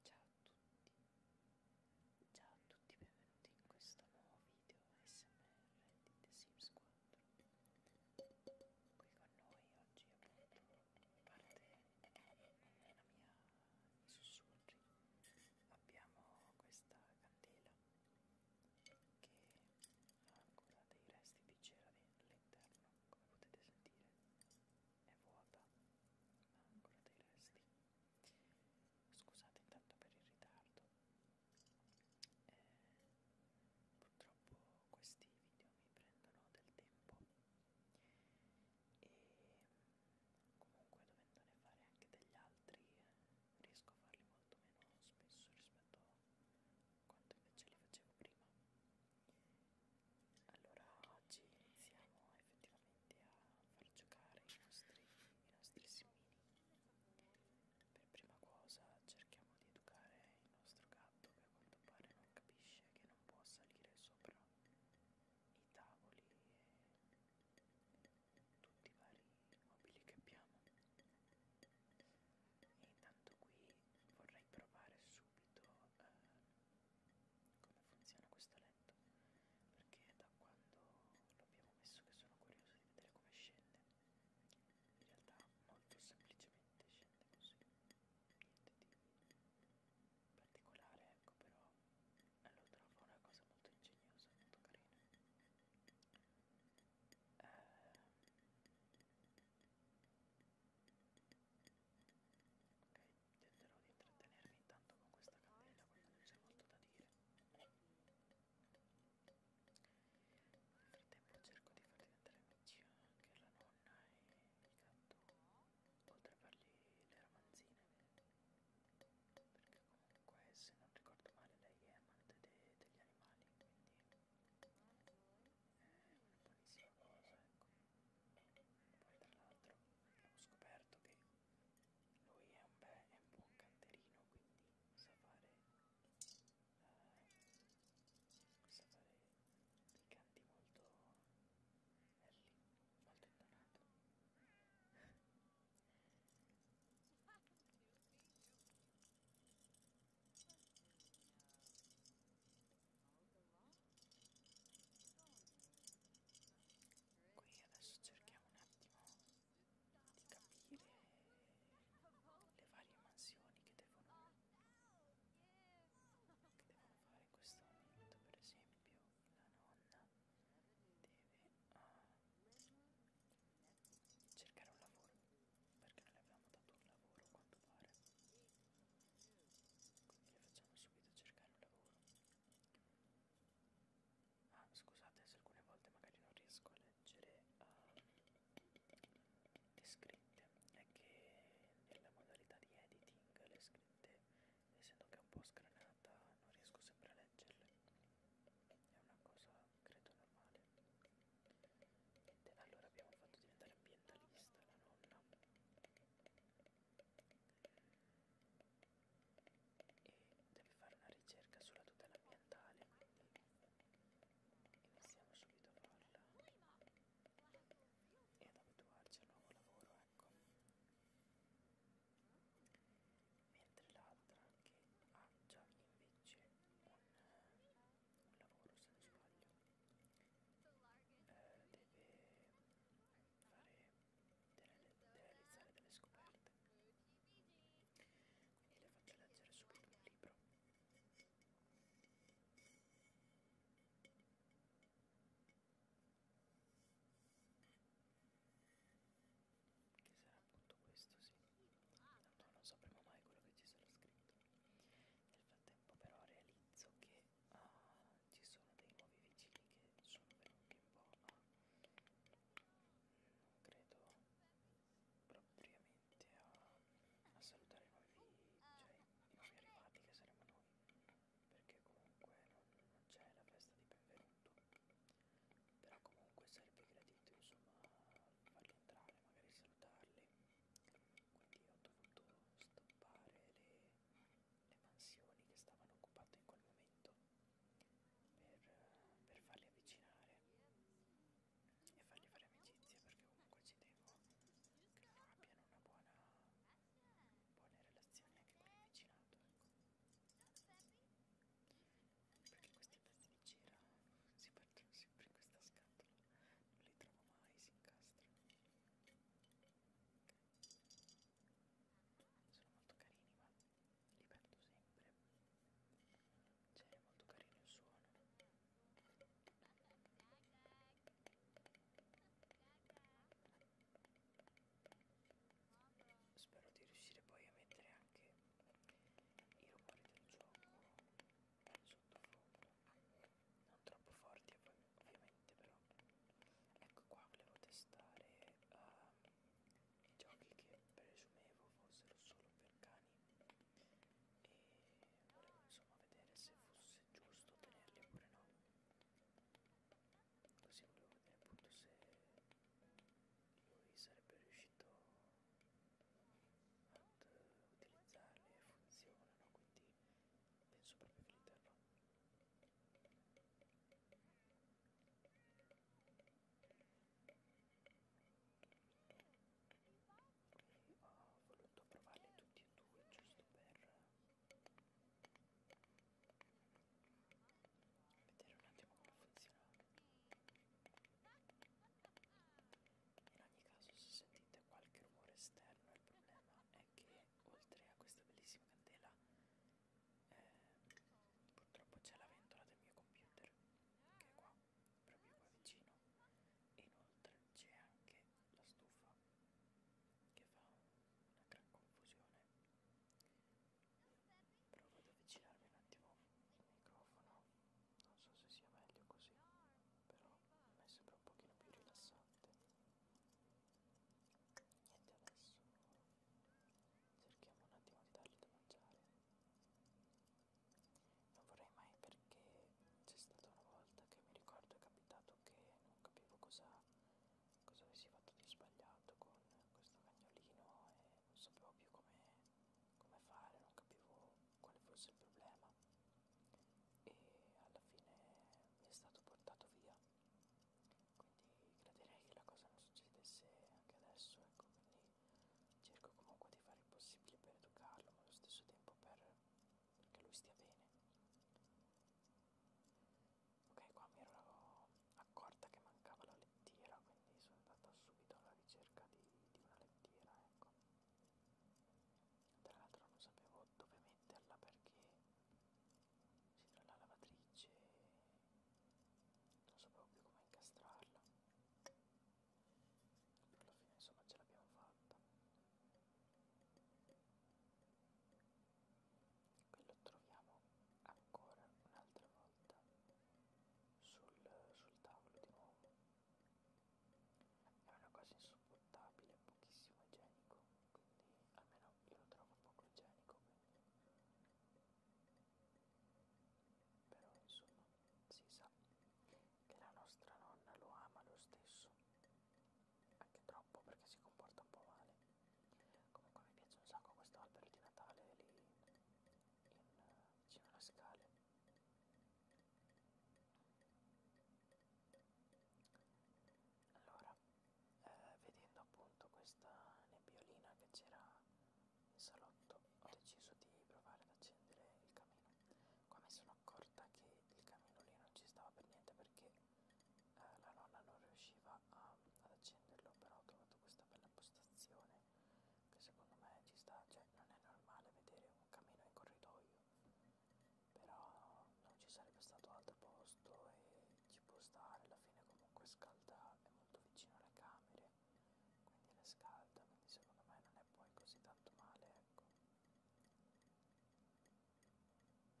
Ciao a tutti, ciao a tutti, benvenuti in questo nuovo video SMR di The Sims 4. Qui con noi oggi appunto parte la mia i sussurri. Abbiamo questa candela che ha ancora dei resti di cera all'interno come potete sentire è vuota ma ha ancora dei resti scusate intanto per il ritardo eh, purtroppo questi video mi prendono del tempo e comunque dovendone fare anche degli altri eh, riesco a farli molto meno spesso rispetto quanto invece li facevo prima allora oggi iniziamo effettivamente a far giocare i nostri, i nostri simili per prima cosa cerchiamo di educare il nostro gatto che a quanto pare non capisce che non può salire sopra i tavoli e tutti i vari mobili che abbiamo e intanto qui vorrei provare su subito eh, come funziona questo letto perché da quando l'abbiamo messo che sono curioso di vedere come scende in realtà molto semplicemente scende così niente di particolare ecco però eh, lo trovo una cosa molto ingegnosa molto carina eh, Ok, tenterò di intrattenermi intanto con questa candela perché non c'è molto da dire. Nel frattempo cerco di far diventare amici anche la nonna e il gatto, oltre a fargli le romanzine, perché comunque se non ricordo male lei è amante de degli animali, quindi è una buonissima cosa ecco poi tra l'altro ho scoperto che lui è un, bel, è un buon canterino quindi sa fare eh, sa fare dei canti molto belli molto intonato Qui adesso cerchiamo un attimo di capire le varie mansioni che devono, che devono fare in questo momento, per esempio la nonna deve uh, cercare un lavoro perché non le abbiamo dato un lavoro a quanto pare quindi le facciamo subito cercare un lavoro ah scusate se alcune volte magari non riesco a leggere uh, le scritte è che nella modalità di editing le scritte essendo che è un po' scranata non riesco sempre a leggerle è una cosa credo normale niente allora abbiamo fatto diventare ambientalista la nonna e deve fare una ricerca sulla tutela ambientale quindi iniziamo subito a farla e ad abituarci al nuovo lavoro ecco mentre l'altra che ha già invece un un lavoro se non sbaglio eh, deve fare deve, deve realizzare delle scoperte quindi le faccio leggere subito un libro che sarà appunto questo sì tanto non sapremo mai quello che ci sarà scritto nel frattempo però realizzo che uh, ci sono dei nuovi vicini che sono venuti un po' a non credo propriamente a, a salutare i nuovi, cioè, i nuovi arrivati che saremo noi perché comunque non, non c'è la festa di benvenuto però comunque sarebbe gradito insomma farli entrare magari salutarli quindi ho dovuto stoppare le, le mansioni che stavano occupando in quel momento per, per farli avvicinare e fargli fare amicizia perché comunque ci tengo che loro abbiano una buona buone relazioni anche con il vicinato ecco. perché questi pezzi di cera si perdono sempre in questa scatola non li trovo mai, si incastrano. Sono molto carini, ma li perdo sempre. Cioè, è molto carino il suono. Spero di riuscire poi a mettere anche i rumori del gioco su sottofondo non troppo forti ovviamente però ecco qua volevo testare um, i giochi che presumevo fossero solo per cani e volevo insomma vedere se fosse giusto tenerli oppure no così volevo vedere appunto se lui sarebbe riuscito ad utilizzarle funzionano quindi penso proprio che li terrò e ho voluto provarli tutti e due giusto per vedere un attimo come funzionano in ogni caso se sentite qualche rumore esterno il problema è che oltre a questa bellissima candela eh, purtroppo c'è la ventola del mio computer che è qua, proprio qua vicino e inoltre c'è anche la stufa che fa una gran confusione provo ad avvicinarmi un attimo il microfono non so se sia meglio così però a me sembra un pochino più rilassante niente adesso cerchiamo un attimo di dargli da mangiare non vorrei mai perché c'è stata una volta che mi ricordo è capitato che non capivo cosa, cosa avessi fatto di sbagliato con questo cagnolino e non sapevo più come, come fare, non capivo quale fosse il problema e alla fine mi è stato portato via quindi crederei che la cosa non succedesse anche adesso ecco quindi cerco comunque di fare il possibile per educarlo ma allo stesso tempo per che lui stia bene ok qua mi ero accorta che mancava la lettiera quindi sono andata subito alla ricerca di, di una lettiera ecco tra l'altro non sapevo dove metterla perché c'era la lavatrice non sapevo più come incastrarla però alla fine insomma ce l'abbiamo fatta qui lo troviamo ancora un'altra volta sul, sul tavolo di nuovo è una cosa insopportabile, pochissimo igienico, quindi almeno io lo trovo poco igienico, quindi. però insomma si sa che la nostra nonna lo ama lo stesso, anche troppo perché si comporta un po' male. Comunque mi piace un sacco questo albero di Natale lì in, vicino alle scale allora eh, vedendo appunto questa nebbiolina che c'era in salotto ho deciso di provare ad accendere il camino qua mi sono accorta che il camino lì non ci stava per niente perché eh, la nonna non riusciva a, ad accenderlo però ho trovato questa bella postazione che secondo me ci sta cioè non è normale vedere un camino in corridoio però non ci sarebbe stato altro posto e ci può stare, alla fine comunque scalda, è molto vicino alle camere, quindi le scalda, quindi secondo me non è poi così tanto male, ecco. Non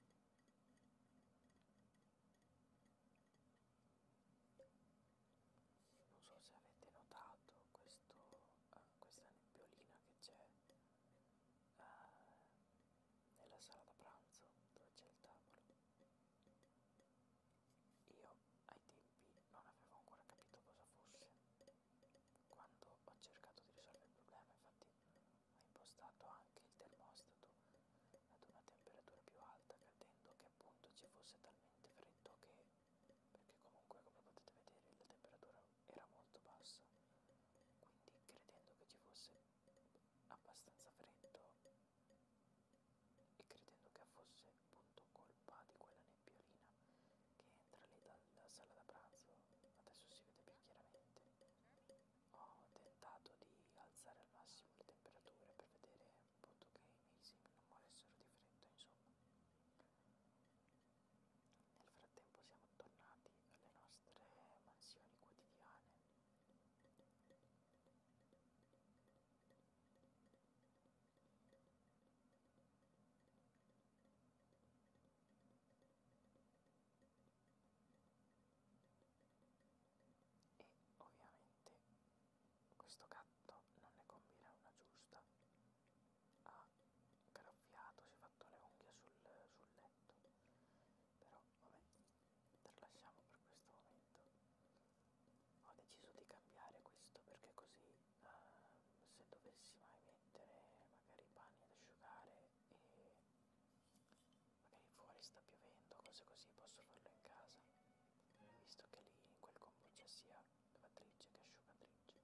so se avete notato questo, eh, questa nebbiolina che c'è eh, nella sala da pranzo dove c'è il tavolo. Io ai tempi non avevo ancora capito cosa fosse. Quando ho cercato di risolvere il problema, infatti ho impostato anche il termostato ad una temperatura più alta, credendo che appunto ci fosse talmente freddo che perché comunque come potete vedere la temperatura era molto bassa quindi credendo che ci fosse abbastanza freddo e credendo che fosse appunto colpa di quella nebbiolina che entra lì dalla sala da pranzo adesso si vede più chiaramente ho tentato di alzare al massimo le temperature per vedere appunto che i miei semi non moressero di freddo insomma nel frattempo siamo tornati alle nostre mansioni quotidiane. E ovviamente questo gatto non ne combina una giusta ha ah, graffiato, si è fatto le unghie sul, sul letto. Però vabbè, tralasciamo per questo momento. Ho deciso di cambiare questo perché così uh, se dovessi mai mettere magari i panni ad asciugare e magari fuori sta piovendo, cose così, posso farlo in casa visto che lì in quel combo c'è sia lavatrice che asciugatrice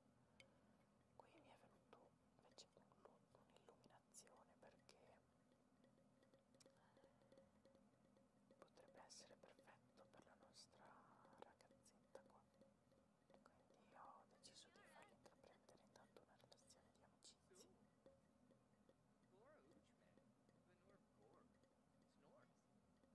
qui mi è venuto invece un'illuminazione perché potrebbe essere perfetto per la nostra ragazzetta qua quindi ho deciso di fargli intraprendere intanto una relazione di amicizia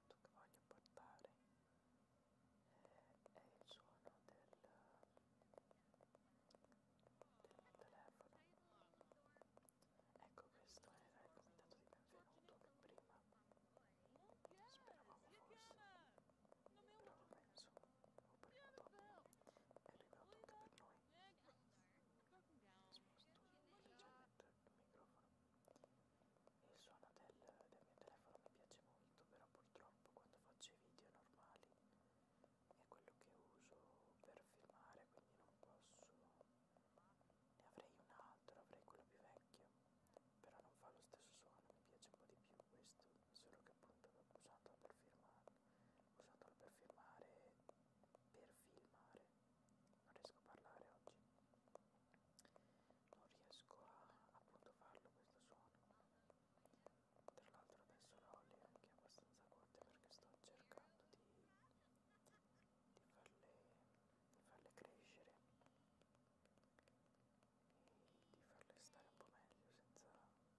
oggetto che voglio portare eh, è il suono del, del mio telefono ecco questo era il comitato di benvenuto che prima speravamo fosse però penso o prima o dopo è arrivato anche per noi sposto leggermente il microfono il suono del, del mio telefono mi piace molto però purtroppo quando faccio i video normali è quello che uso per filmare quindi non posso ne avrei un altro avrei quello più vecchio però non fa lo stesso suono mi piace un po' di più questo solo che appunto usandolo per filmare usandolo per filmare per filmare non riesco a parlare oggi non riesco a appunto farlo questo suono tra l'altro adesso l'olio anche abbastanza forte perché sto cercando di, di, farle, di farle crescere e di farle stare un po' meglio senza rovinarle sempre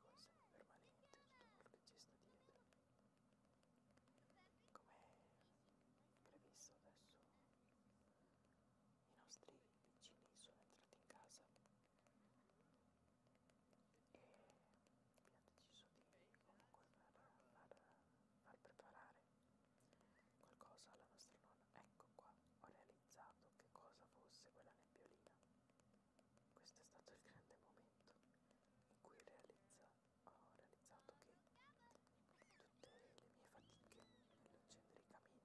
col semi permanente tutto quello che ci sta dietro come previsto adesso i nostri vicini sono entrati in casa e abbiamo deciso di comunque far, far preparare qualcosa alla nostra nonna ecco qua ho realizzato che cosa fosse quella nebbiolina questo è stato il grande momento in cui realizza video ho realizzato che tutte le mie fatiche nell'accendere i camini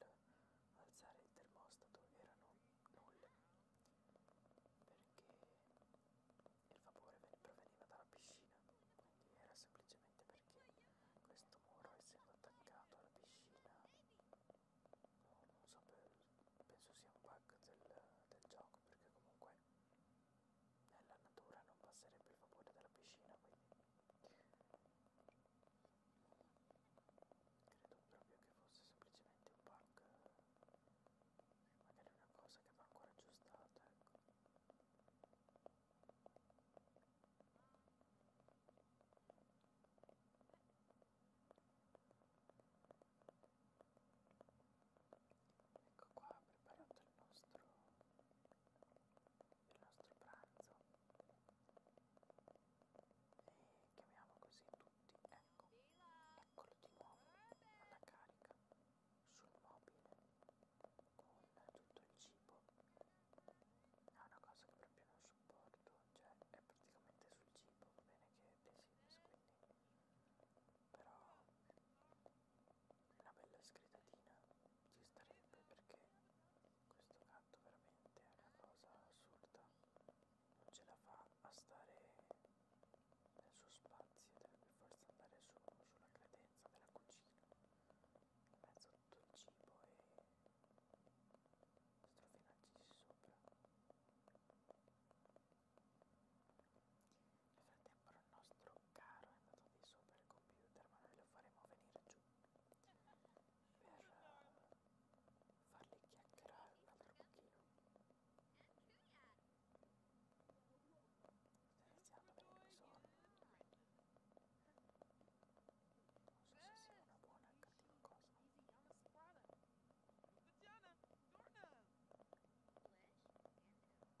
e nell'alzare il termostato erano nulle perché il vapore proveniva dalla piscina quindi era semplicemente perché questo muro essendo attaccato alla piscina non so penso sia un bug del, del gioco perché comunque nella natura non passerebbe il vapore della piscina quindi credo proprio che fosse semplicemente un bug magari una cosa che va ancora aggiustata ecco Ecco qua preparato il nostro il nostro pranzo e chiamiamo così tutti ecco eccolo di nuovo alla carica sul mobile con tutto il cibo è una cosa che proprio non sopporto cioè è praticamente sul cibo va bene che è pesibus quindi però una bella scridatina ci starebbe perché questo gatto veramente è una cosa assurda non ce la fa a stare nel suo spazio deve per forza andare su, sulla credenza della cucina in mezzo a tutto il cibo e strofinarci sopra nel frattempo il nostro caro è andato di sopra il computer, ma noi lo faremo venire giù per eh, farli chiacchierare un altro pochino. Sta iniziando a venire sonno. Non so se sia una buona o cattiva cosa.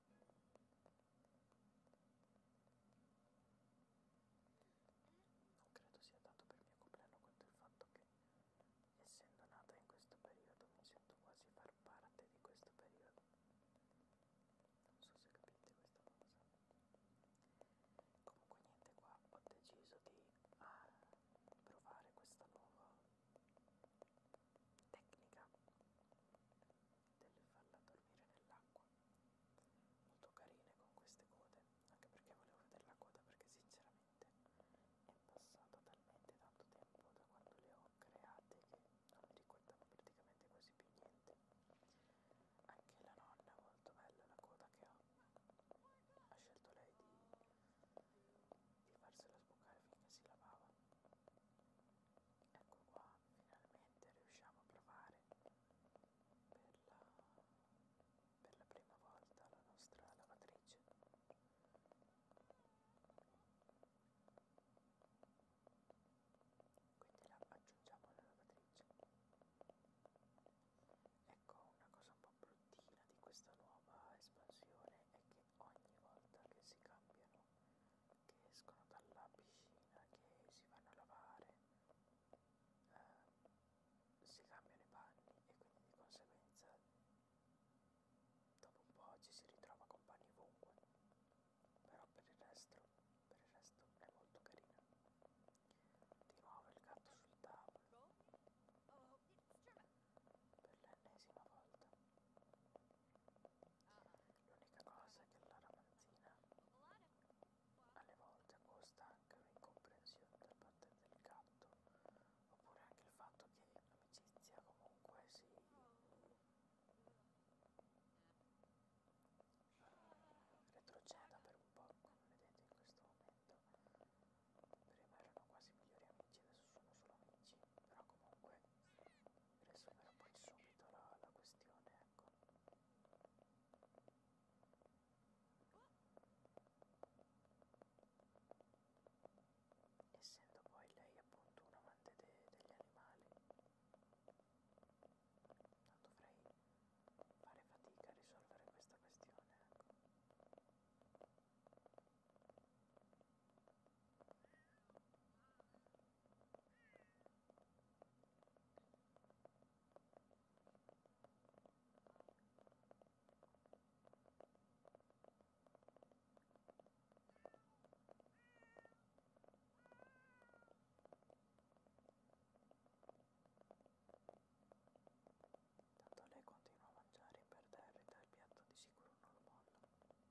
Non credo sia dato per il mio compleanno quanto il fatto che, essendo nata in questo periodo, mi sento quasi far parte di questo periodo. Non so se capite questa cosa. Comunque niente qua, ho deciso di ah, provare questa nuova tecnica del farla dormire nell'acqua molto carine con queste code anche perché volevo vedere la coda perché sinceramente è passato talmente tanto tempo da quando le ho create che non mi ricordavo praticamente quasi più niente anche la nonna è molto bella la coda che ha ha scelto lei di, di farsela sboccare finché si lavava ecco qua finalmente riusciamo a provare per la, per la prima volta la nostra lavatrice quindi la aggiungiamo alla lavatrice ecco una cosa un po' bruttina di questa nuova espansione è che ogni volta che si cambiano che escono dalla piscina, che si vanno a lavare, eh, si cambiano i panni e quindi di conseguenza dopo un po' ci si ritrova con panni ovunque, però per il resto, per il resto è molto carina. Di nuovo il gatto sul tavolo per l'ennesima volta. L'unica cosa è che la ramanzina alle volte costa anche un'incomprensione da parte del gatto, oppure anche il fatto che l'amicizia comunque si eh, retroceda per un po', come vedete in questo momento. Prima erano quasi migliori amici, adesso sono solo amici però comunque risolverò poi subito la, la questione ecco essendo poi lei appunto un amante de, degli animali non dovrei fare fatica a risolvere questa questione ecco Tanto lei continua a mangiare per terra e dal piatto di sicuro non lo molla.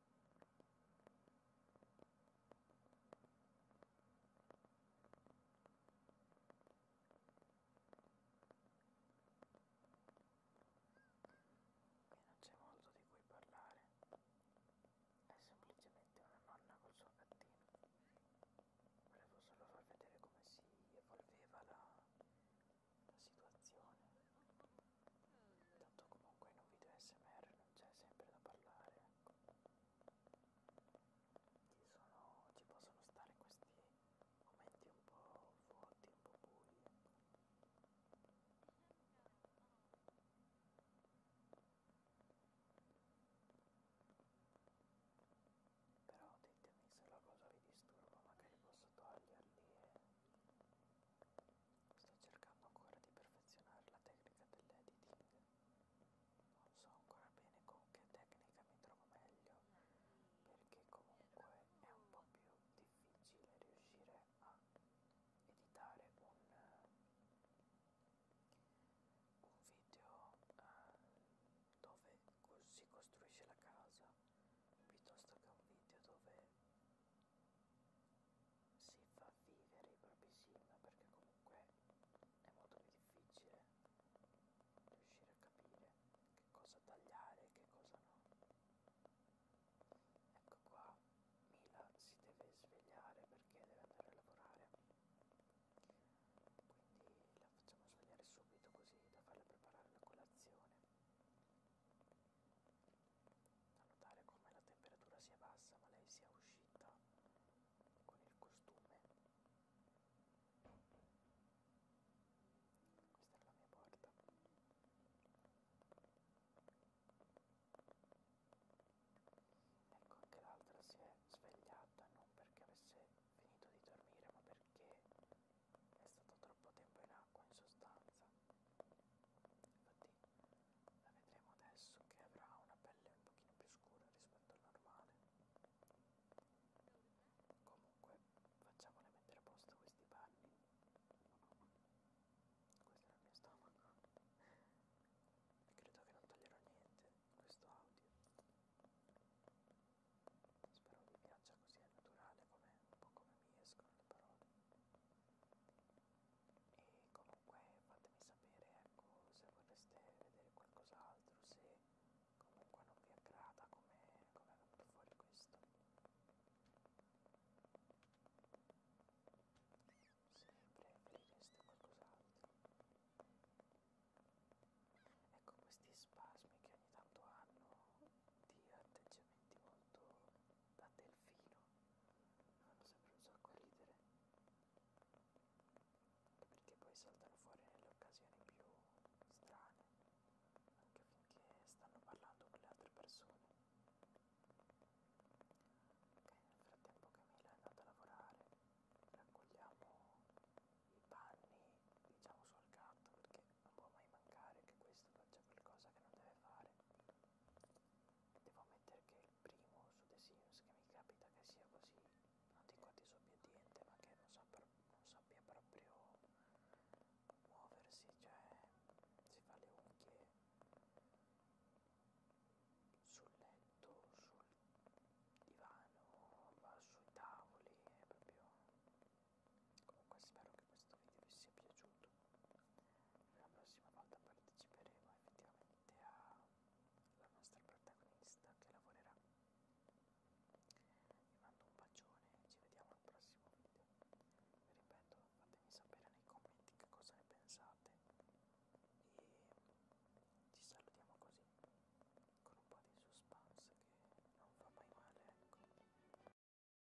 Qui non c'è molto di cui parlare, è semplicemente una nonna col suo gattino. Volevo solo far vedere come si evolveva la, la situazione. Tanto comunque in un video SMR non c'è sempre da parlare, ecco. Ci, sono, ci possono stare questi momenti un po' vuoti, un po' bui, ecco. Però ditemi se la cosa vi disturba, magari posso toglierli e Sto cercando ancora di perfezionare la tecnica dell'editing. Non so ancora bene con che tecnica mi trovo meglio perché comunque è un po' più difficile riuscire a editare un, un video eh, dove si costruisce la casa piuttosto che un video dove si fa vivere i propri sim perché comunque è molto più difficile riuscire a capire che cosa tagliare e che cosa no ecco qua Mila si deve svegliare perché deve andare a lavorare quindi la facciamo svegliare subito così da farle preparare la colazione da notare come la temperatura sia bassa ma lei sia uscita con il costume. Questa è la mia porta. Ecco anche l'altra si è svegliata non perché avesse finito di dormire ma perché è stato troppo tempo in acqua in sostanza infatti la vedremo adesso che avrà una pelle un pochino più scura rispetto al normale comunque facciamole mettere a posto questi panni questo era il mio stomaco e credo che non toglierò niente in questo audio spero vi piaccia così è naturale come un po' come mi escono le parole e comunque fatemi sapere ecco se vorreste vedere qualcos'altro se comunque non vi aggrada come com è venuto fuori questo se preferireste qualcos'altro ecco questi spasmi che ogni tanto hanno di atteggiamenti molto da Delfino mi fanno sempre un sacco ridere perché poi saltano fuori nelle occasioni più strane anche finché stanno parlando con le altre persone ok nel frattempo Camilla è andata a lavorare raccogliamo i panni diciamo sul gatto perché non può mai mancare che questo faccia qualcosa che non deve fare Devo ammettere che è il primo su The Sims che mi capita che sia così, non dico disobbediente, ma che non, sappia, non sappia proprio muoversi, cioè si fa le unghie sul letto, sul divano, va sui tavoli, è proprio comunque spero che questo video vi sia piaciuto la prossima volta parteciperemo effettivamente alla nostra protagonista che lavorerà vi mando un bacione e ci vediamo al prossimo video vi ripeto fatemi sapere nei commenti che cosa ne pensate e ci salutiamo così con un po' di suspense che non fa mai male ecco